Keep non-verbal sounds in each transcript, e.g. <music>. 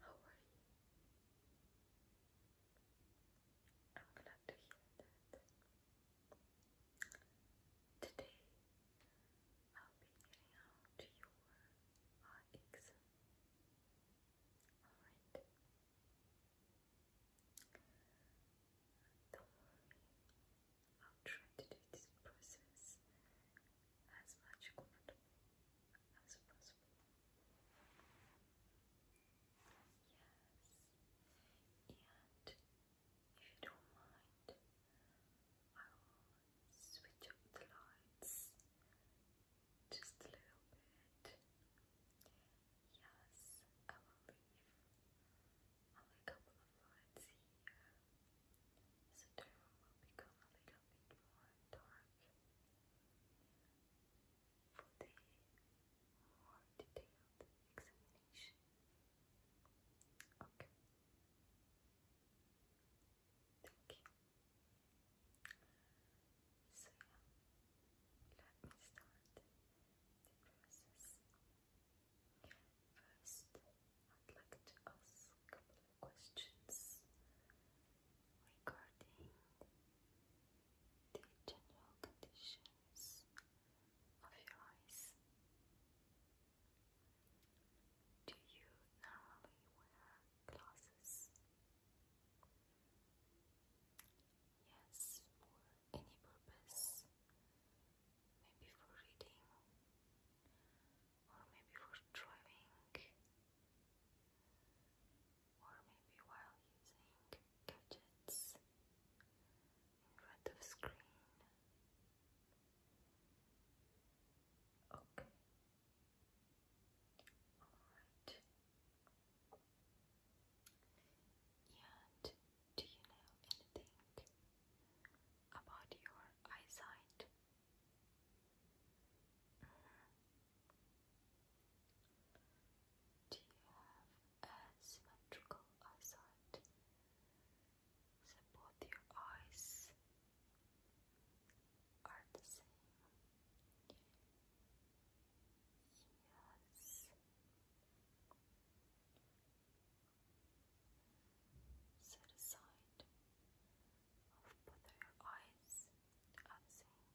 Hello, how are you? I'm glad to hear that. Today I'll be getting out your eye exam. Alright. Don't worry, I'll try to do this process as much comfortable as possible. Yes, and if you don't mind, I will switch up the lights just a little bit. Yes, I will leave only a couple of lights here so the room will become a little bit more dark for the more detailed examination. Okay. Thank you. So yeah, let me start the process. First, I'd like to ask a couple of questions regarding the general conditions of your eyes. Do you normally wear glasses? Yes, for any purpose. Maybe for reading, or maybe for driving, or maybe while using gadgets in front of screen. Okay. Alright. And do you know anything about your eyesight? Do you have a symmetrical eyesight? both your eyes are the same. Yes. Set aside of both your eyes are the same.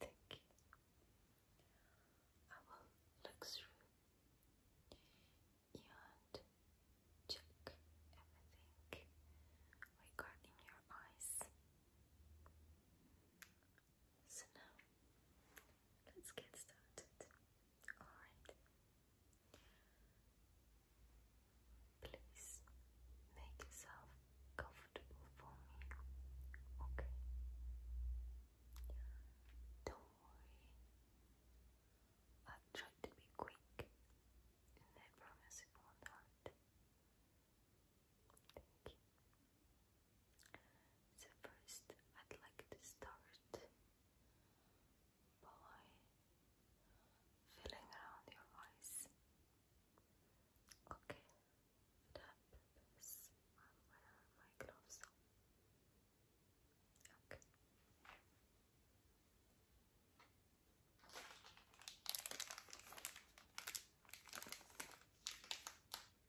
Thank you. I will look through and check everything regarding your eyes. So now, let's get started. Alright. Please make yourself comfortable for me, okay? Don't worry. I've tried to be quick, and I promise it won't hurt. Thank you. So first I'd like to start by feeling around your eyes. Okay, for I'm going my gloves on. Okay,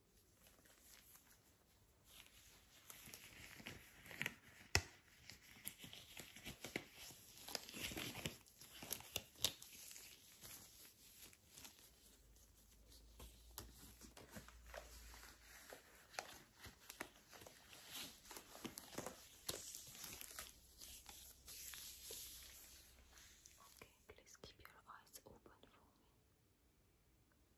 Okay, please keep your eyes open for me.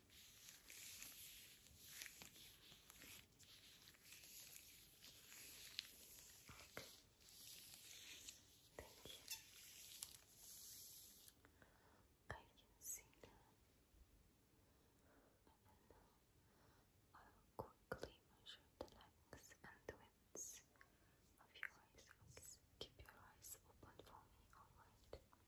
Thank you. I can see And I will quickly measure the length and the of your eyes. Okay. Keep your eyes open for me, alright?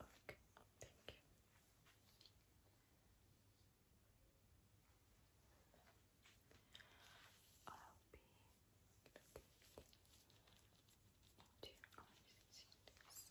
Okay, thank you. I'll be looking into your eyes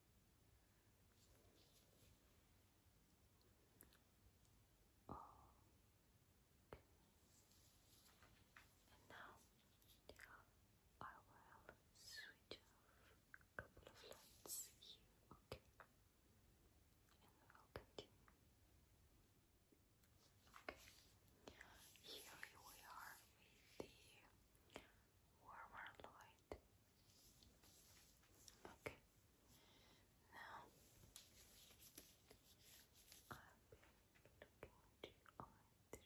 Okay. And now I will switch off a couple of lights here, okay? And we'll continue. Okay. Here we are with the warmer light. Good. Okay. Now, I've been looking to only through my fingers. Okay. Okay.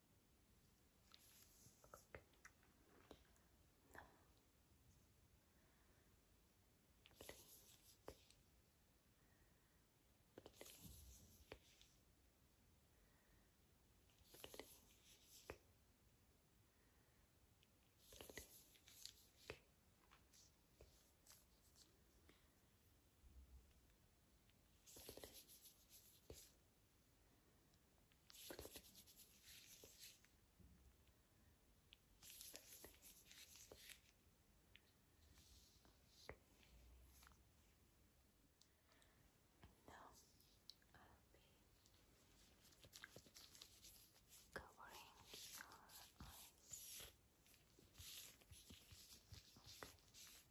Okay. No. Blink. Blink. Now I'll be covering your eyes.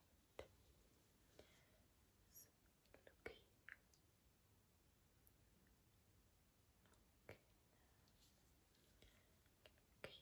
right. So look here. Okay. Look here. Okay. Look here. Okay. Look here.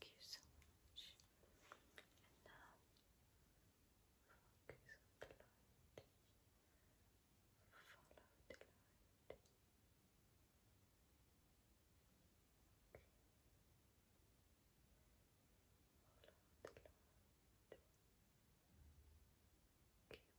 Thank you so much. And now, focus the light. Follow the light. Follow the light. Keep following.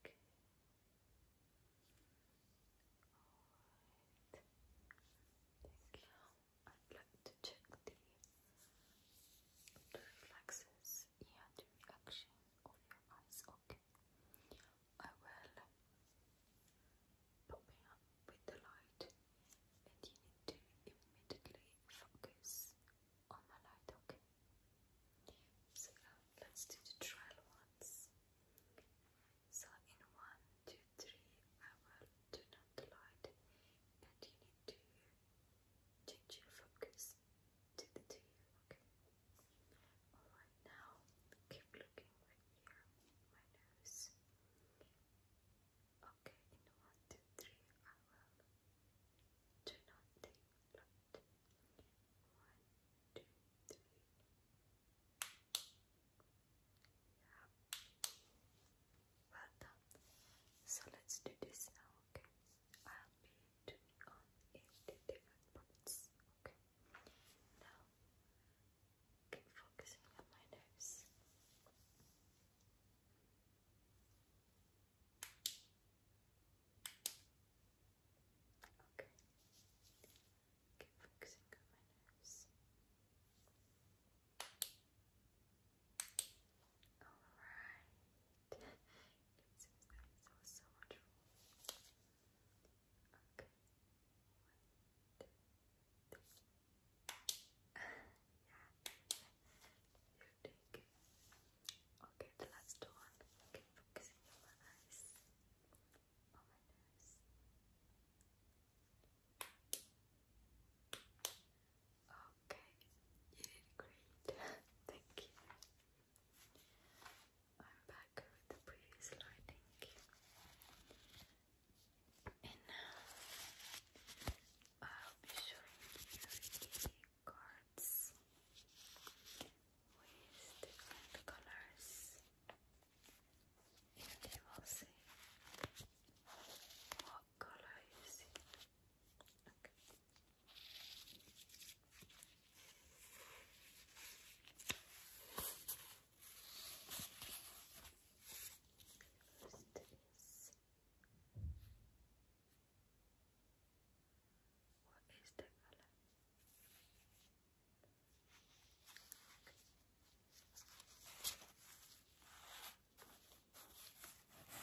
Okay. Alright. Thank you. I'd like to check the, reflexes and the reaction eyes. Okay. I will pop it with the light and you need to immediately focus on my light, okay? So let's do the trial ones. So in one, two, three, I will turn on the light, and you need to change your focus to the two, okay? Alright, now keep looking right here, my nose. Okay, in one, two, three, I will do nothing left. One, two, three. Yeah. Well done. So let's do this now, okay? I'll be doing on eight different parts, okay? Now, keep focusing on my nose. Okay. Keep focusing on my nose. Alright. it seems so much Okay. yeah. You Okay, the last one. Okay, focusing on my eyes. On my nose. Okay, you did great. <laughs> Thank you. I'm back with the previous lighting. And now I'll uh, be showing you cards with different colors and you will see what color you see. Okay. First is What is the color? What is the color?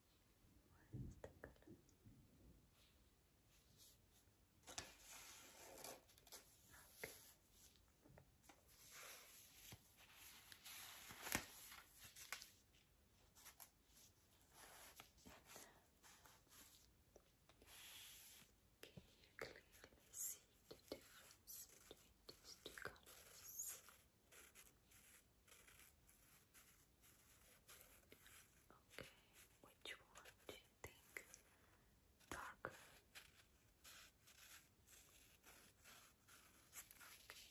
What is Can you clearly see the difference between these two colors? Okay, which one do you think darker? Okay, thank you.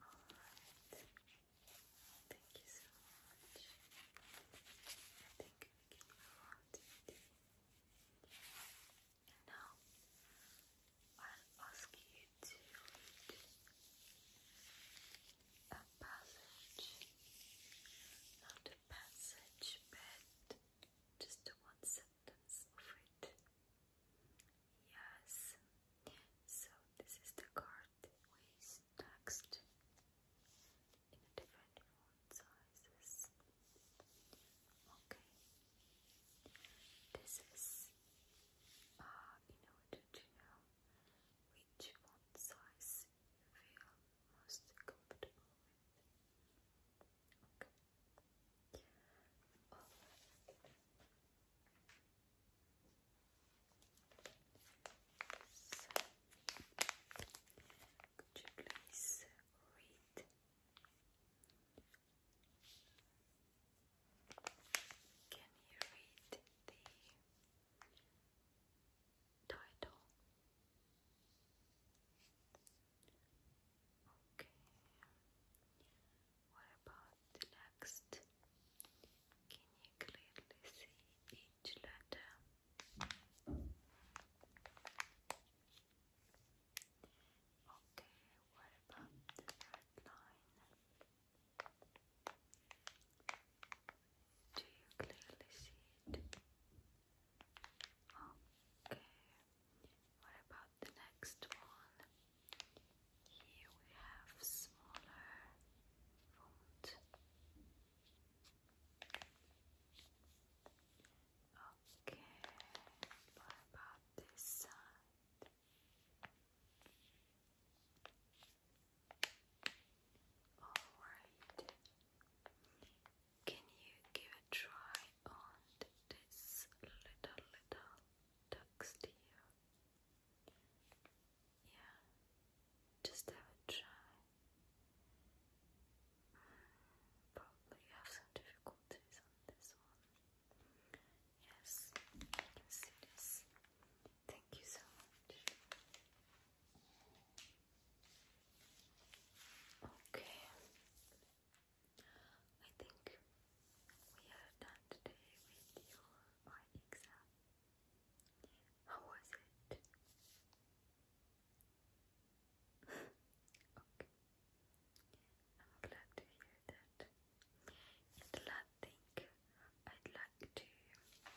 Alright, thank you so much. I think we can move and now I'll ask you to read a passage, not a passage, but just one sentence of it. Yes, so this is the card with text in different font sizes. Okay, this is are in order to know which font size you feel most comfortable with. could you please read? Can you read the title? Okay. What about the next? Can you clearly see each letter? Okay, what about the red line? Do you clearly see it? Okay. What about the next one? Here we have smaller font. Okay. What about this side? Alright, can you give a try on this little, little text here? Yeah, just have a try. Hmm, probably have some difficulties on this one. Yes, I can see this. Thank you so much. Okay. I think we are done today with your eye exam. How was it? <laughs> okay. I'm glad to hear that. It think I'd like to give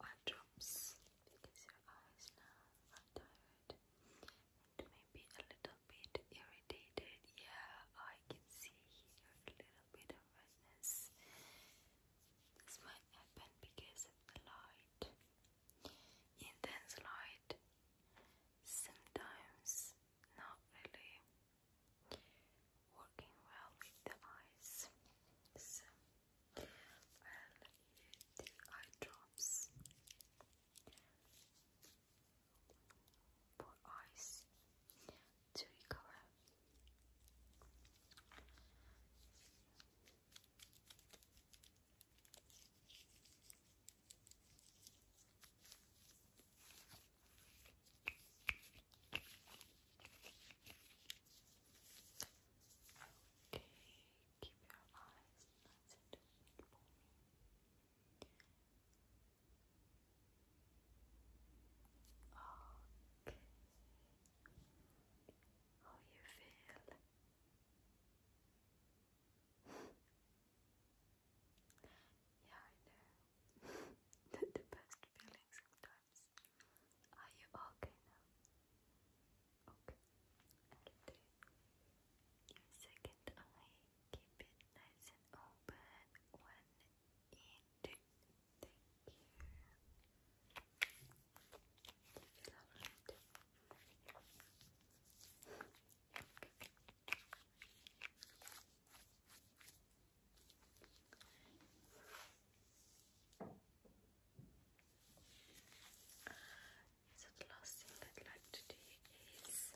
eye drops because your eyes now are tired and maybe a little bit irritated. Yeah, I can see a little bit of redness. This might happen because of the light, intense light. Sometimes not really working well with the eyes. So um, the eye drops for eyes to recover. Okay, keep your eyes nice and open for me. Okay. How you feel? Yeah, I know. Not <laughs> the best feeling sometimes. Are you okay now? Okay. And second eye, keep it nice and open. One in two. Thank you. So the last thing I'd like to do is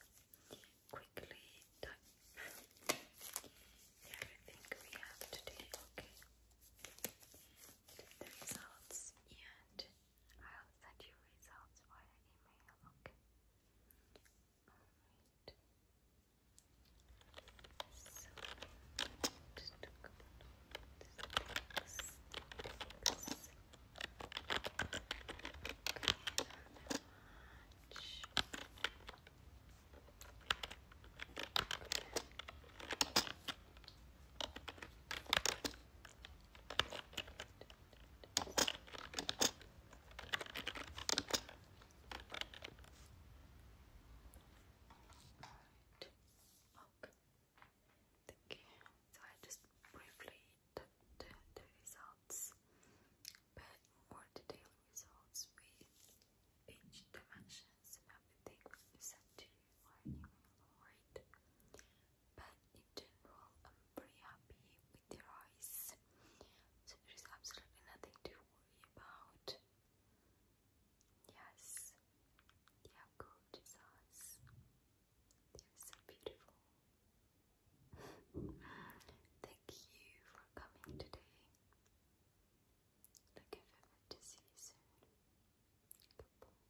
quickly type everything we have today, okay? The results and I'll send you results via email, okay? Alright. So let's talk about this next. Okay, much. Okay. Okay. Thank you. So I just briefly the, the results, but more detailed results with each dimensions and everything will be sent to you by email, alright? but in general, I'm pretty happy with their eyes, so there is absolutely nothing to worry about. Yes, they gorgeous eyes, they are so beautiful. <laughs> Thank you for coming today. Looking forward to see you soon. Goodbye.